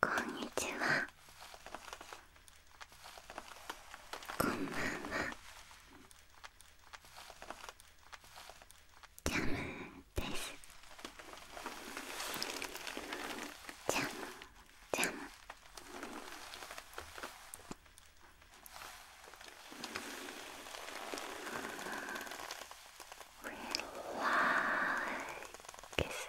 こんにちはこんばんはジャムですジャムジャムリラックス。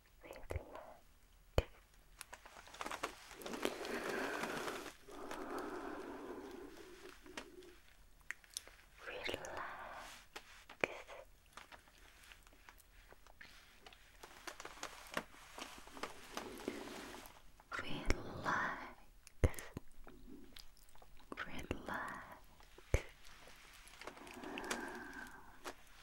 neck. Relax. Relax, relax,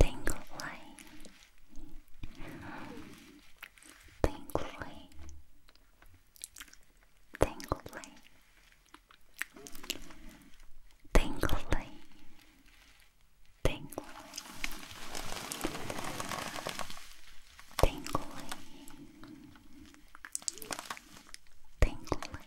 Tingle Tingly Tingly Tingly Tingly Tingly Tingly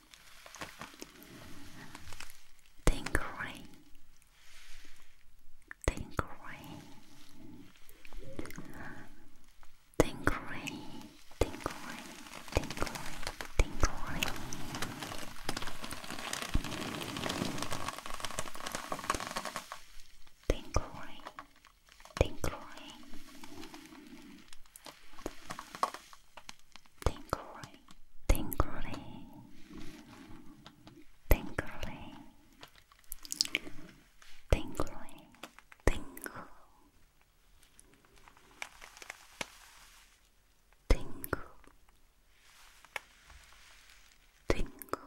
tinkering, tinkering, tinkering, tinkering, tinkering, tinkering. Tinkering, tinkering, tingly, tingly, tingly, tingly, tingle, tingle, tingle, tingle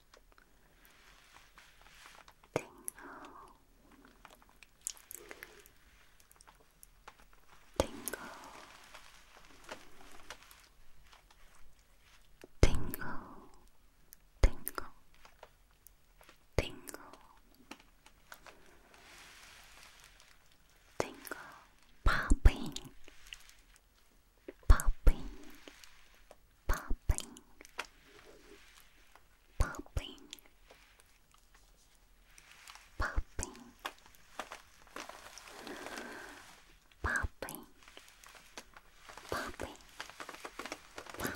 Tingle, tingle, tingle, tingle, tingle, tingle, popping, popping, popping, popping, popping, popping, popping, popping, popping. Popping,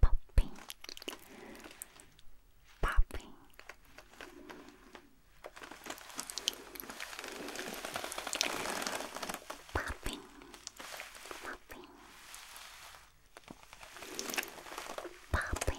popping, popping. Popping, popping, popping, popping,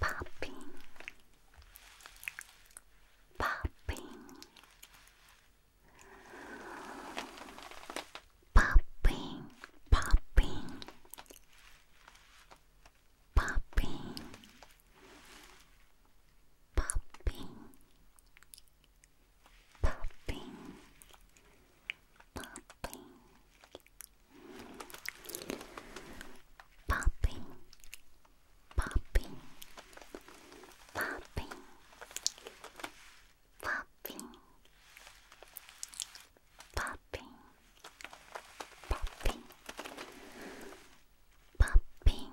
popping, popping, popping, popping, popping, popping, popping popping, popping, popping, popping, popping, popping, popping, popping, popping.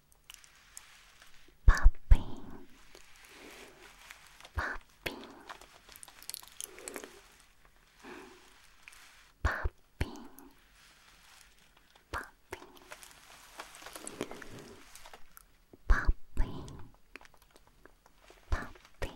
popping, popping, popping, popping, popping, popping, popping. Popping,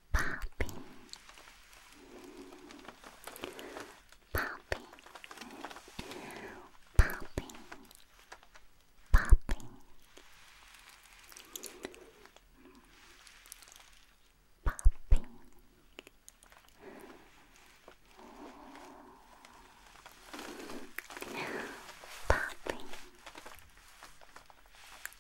popping, popping, popping, popping, popping. Popping,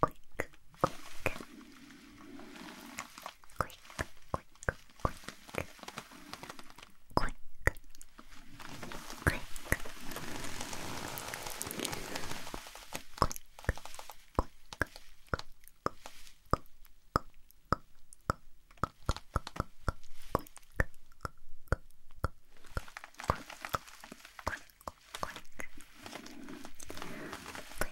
quick, quick, quick, quick, quick, quick, quick, quick. Quick,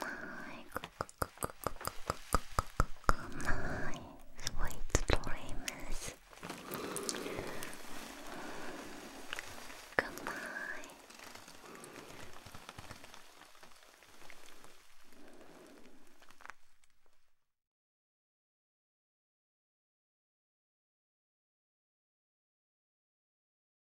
my sweet dreams. Good night.